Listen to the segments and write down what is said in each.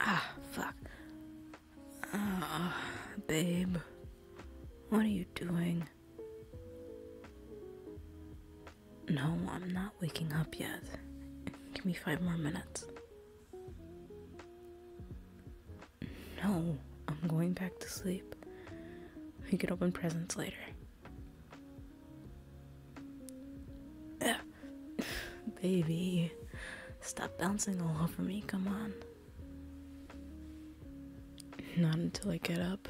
ah, fuck. Oh, babe. What are you doing? No, I'm not waking up yet. Give me five more minutes. No, I'm going back to sleep. We can open presents later. Ugh. Baby, stop bouncing all over me, come on. Not until I get up.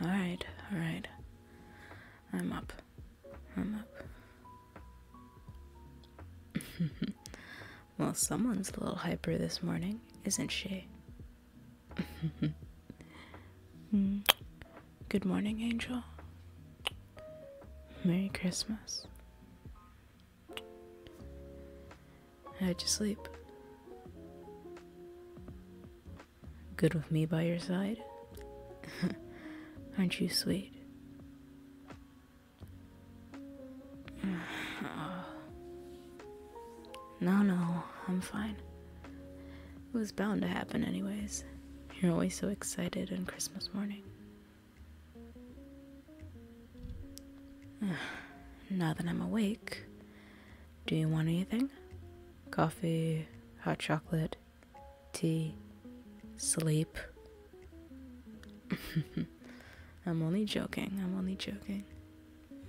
Alright, alright. I'm up. I'm up. well, someone's a little hyper this morning, isn't she? Hmm. Good morning, Angel. Merry Christmas. How'd you sleep? Good with me by your side? Aren't you sweet? No, no, I'm fine. It was bound to happen, anyways. You're always so excited on Christmas morning. now that I'm awake, do you want anything? Coffee, hot chocolate, tea, sleep. I'm only joking. I'm only joking.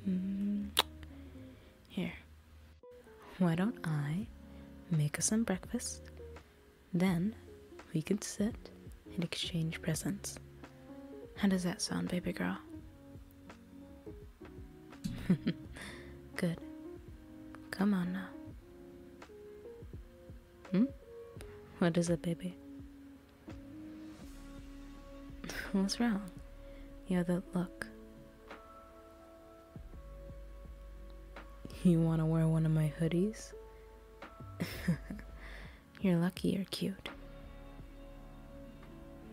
Mm. Here. Why don't I make us some breakfast? Then we could sit and exchange presents. How does that sound, baby girl? Good. Come on now. Hmm? What is it, baby? What's wrong? You have that look. You want to wear one of my hoodies? you're lucky you're cute.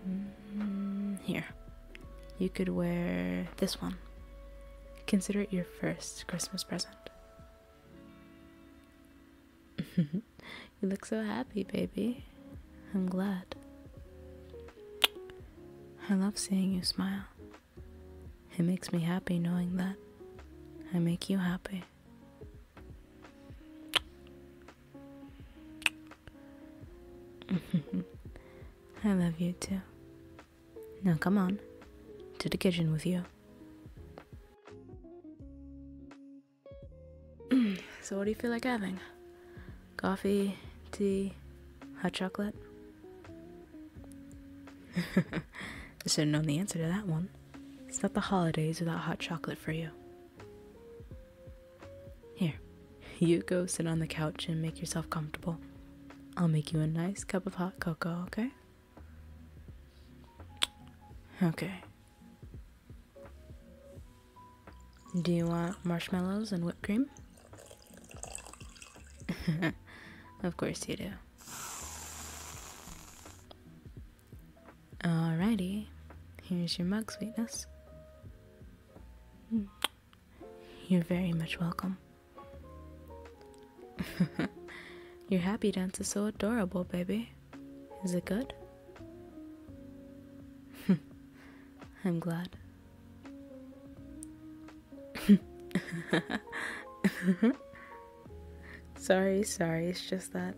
Mm-hmm. here. You could wear this one. Consider it your first Christmas present? you look so happy, baby. I'm glad. I love seeing you smile. It makes me happy knowing that I make you happy. I love you too. Now come on, to the kitchen with you. so, what do you feel like having? Coffee, tea, hot chocolate? I should know the answer to that one. It's not the holidays without hot chocolate for you. Here, you go sit on the couch and make yourself comfortable. I'll make you a nice cup of hot cocoa, okay? Okay. Do you want marshmallows and whipped cream? of course you do. Alrighty, here's your mug, sweetness. You're very much welcome. Your happy dance is so adorable, baby. Is it good? I'm glad. sorry, sorry, it's just that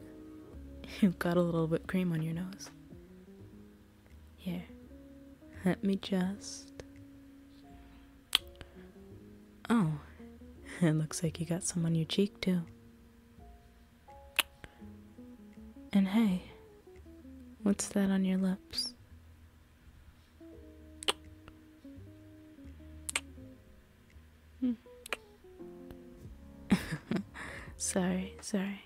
you've got a little whipped cream on your nose. Here, let me just. Oh, it looks like you got some on your cheek too. And hey, what's that on your lips? sorry, sorry.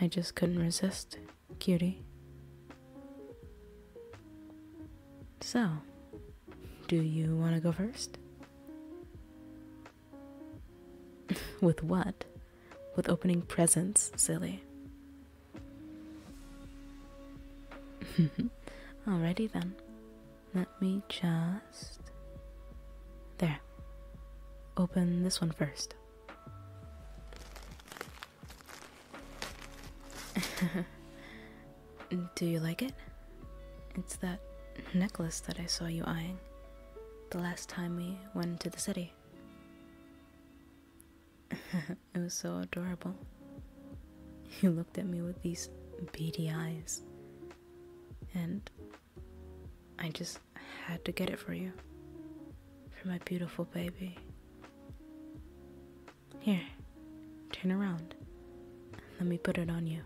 I just couldn't resist cutie. So, do you want to go first? With what? With opening presents, silly. Alrighty then. Let me just. There. Open this one first. Do you like it? It's that necklace that I saw you eyeing the last time we went to the city. it was so adorable. You looked at me with these beady eyes, and I just had to get it for you, for my beautiful baby. Here, turn around. Let me put it on you.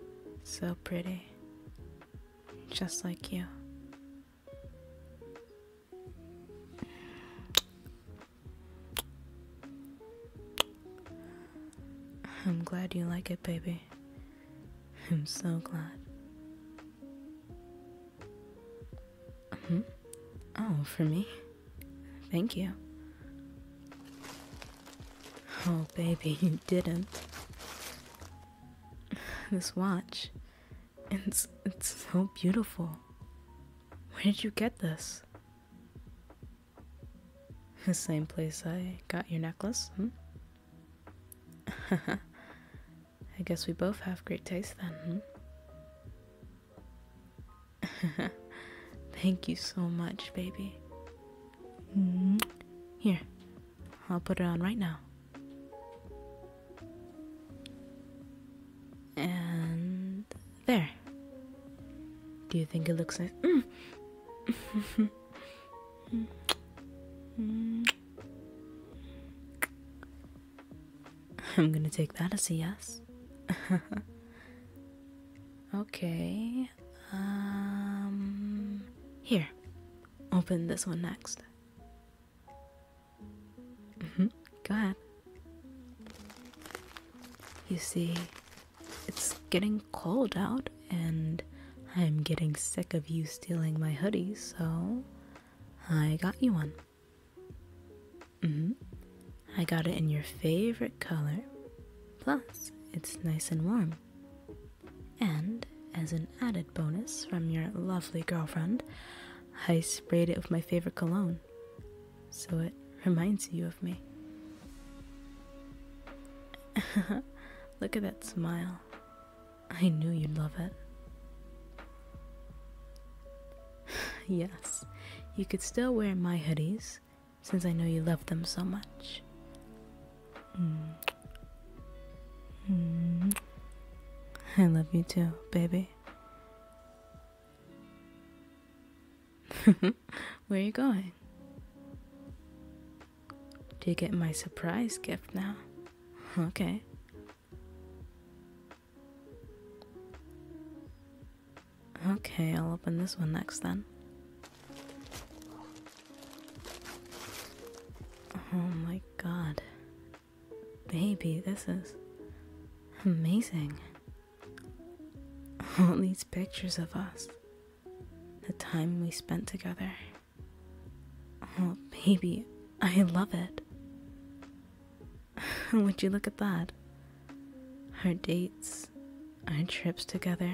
so pretty. Just like you. I'm glad you like it, baby. I'm so glad. Hmm? Oh, for me? Thank you. Oh, baby, you didn't. This watch. It's it's so beautiful. Where did you get this? The same place I got your necklace, hmm? I guess we both have great taste then. Hmm? Thank you so much, baby. Mm-hmm. Here, I'll put it on right now. And there. Do you think it looks nice? Mm. Mm. Mm. I'm gonna take that as a yes. okay. Um, here, open this one next. Mm -hmm. Go ahead. You see, it's getting cold out, and I'm getting sick of you stealing my hoodie, so I got you one. hmm I got it in your favorite color. Plus, it's nice and warm. And as an added bonus from your lovely girlfriend, I sprayed it with my favorite cologne. So it reminds you of me. Look at that smile. I knew you'd love it. yes, you could still wear my hoodies since I know you love them so much. Mm. Mm. I love you too, baby. Where are you going? Do you get my surprise gift now? Okay. Okay, I'll open this one next then. Oh my god. Baby, this is amazing. All these pictures of us, the time we spent together. Oh, baby, I love it. Would you look at that? Our dates, our trips together.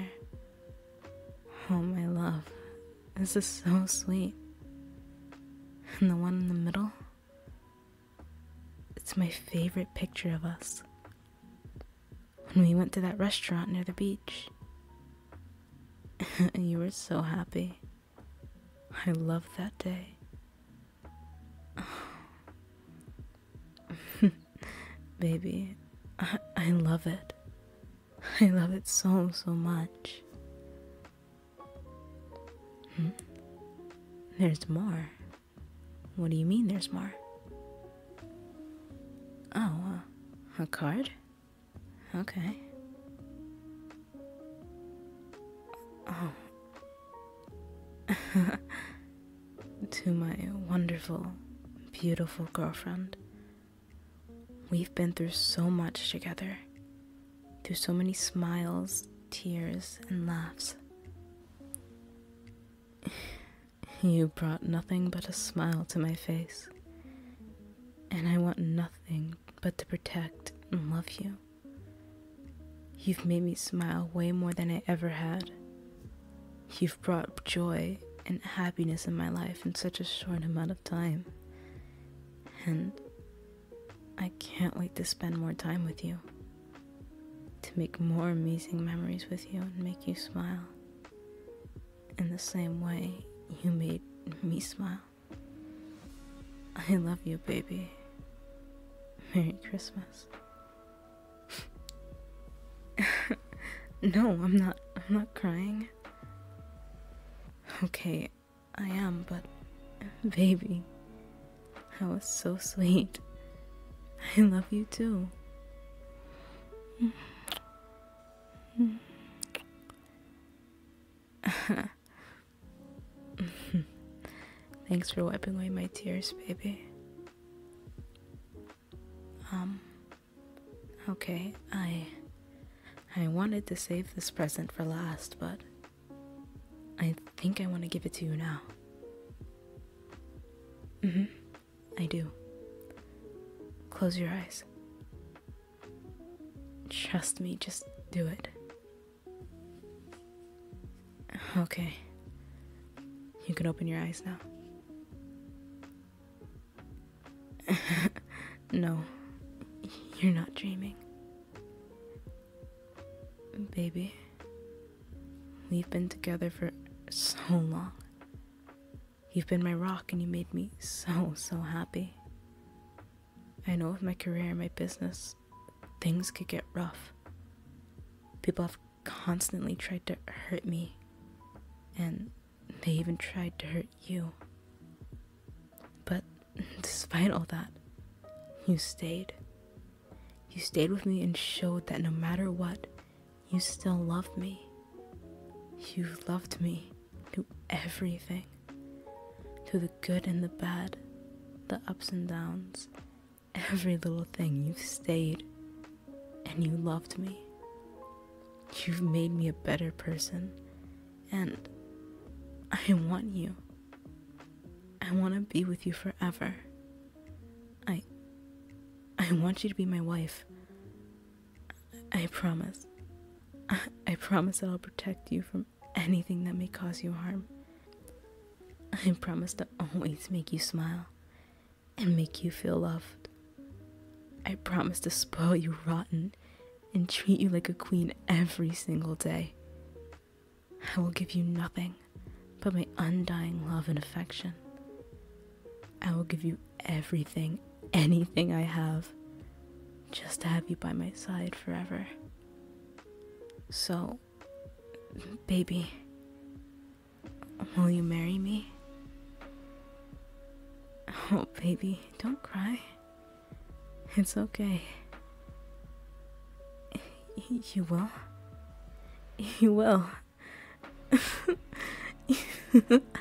Oh, my love, this is so sweet. And the one in the middle? It's my favorite picture of us. When we went to that restaurant near the beach. and you were so happy. I love that day. Baby, I, love it. I love it so, so much. Hmm? There's more. What do you mean there's more? Oh, a card? Okay. Oh. to my wonderful, beautiful girlfriend. We've been through so much together, through so many smiles, tears, and laughs. You brought nothing but a smile to my face, and I want nothing but to protect and love you. You've made me smile way more than I ever had. You've brought joy and happiness in my life in such a short amount of time. And I can't wait to spend more time with you, to make more amazing memories with you and make you smile in the same way you made me smile. I love you, baby. Merry Christmas. no, I'm not I'm not crying. Okay, I am, but baby, that was so sweet. I love you too. Thanks for wiping away my tears, baby. Um, okay, I I wanted to save this present for last, but I think I want to give it to you now. Mm-hmm, I do. Close your eyes. Trust me, just do it. Okay. You can open your eyes now. no, you're not dreaming. Baby, we've been together for so long. You've been my rock and you made me so, so happy. I know with my career and my business, things could get rough. People have constantly tried to hurt me, and they even tried to hurt you. But despite all that, you stayed. You stayed with me and showed that no matter what, you still love me. You loved me knew everything through the good and the bad, the ups and downs, every little thing. You've stayed and you loved me. You've made me a better person, and I want you. I want to be with you forever. I I want you to be my wife. I promise. I promise that I'll protect you from anything that may cause you harm. I promise to always make you smile and make you feel loved. I promise to spoil you rotten and treat you like a queen every single day. I will give you nothing but my undying love and affection. I will give you everything anything I have just to have you by my side forever. So, baby, will you marry me? Oh, baby, don't cry. It's okay. You will? You will.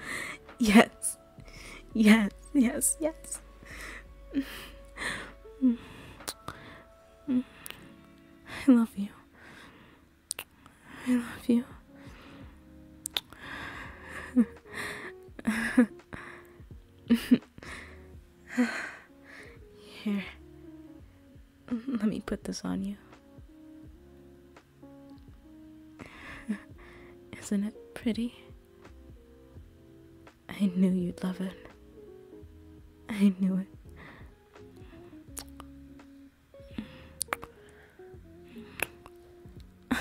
yes. Yes, yes, yes. I love you. I love you. Here. Let me put this on you. Isn't it pretty? I knew you'd love it. I knew it.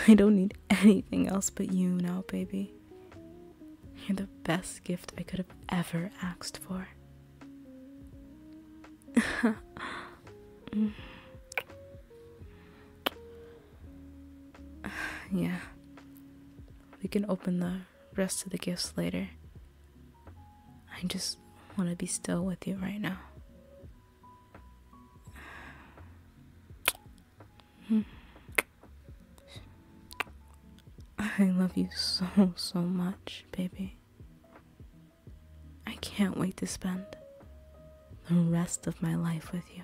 I don't need anything else but you now, baby. You're the best gift I could have ever asked for. yeah. We can open the rest of the gifts later. I just want to be still with you right now. I love you so, so much, baby. I can't wait to spend the rest of my life with you.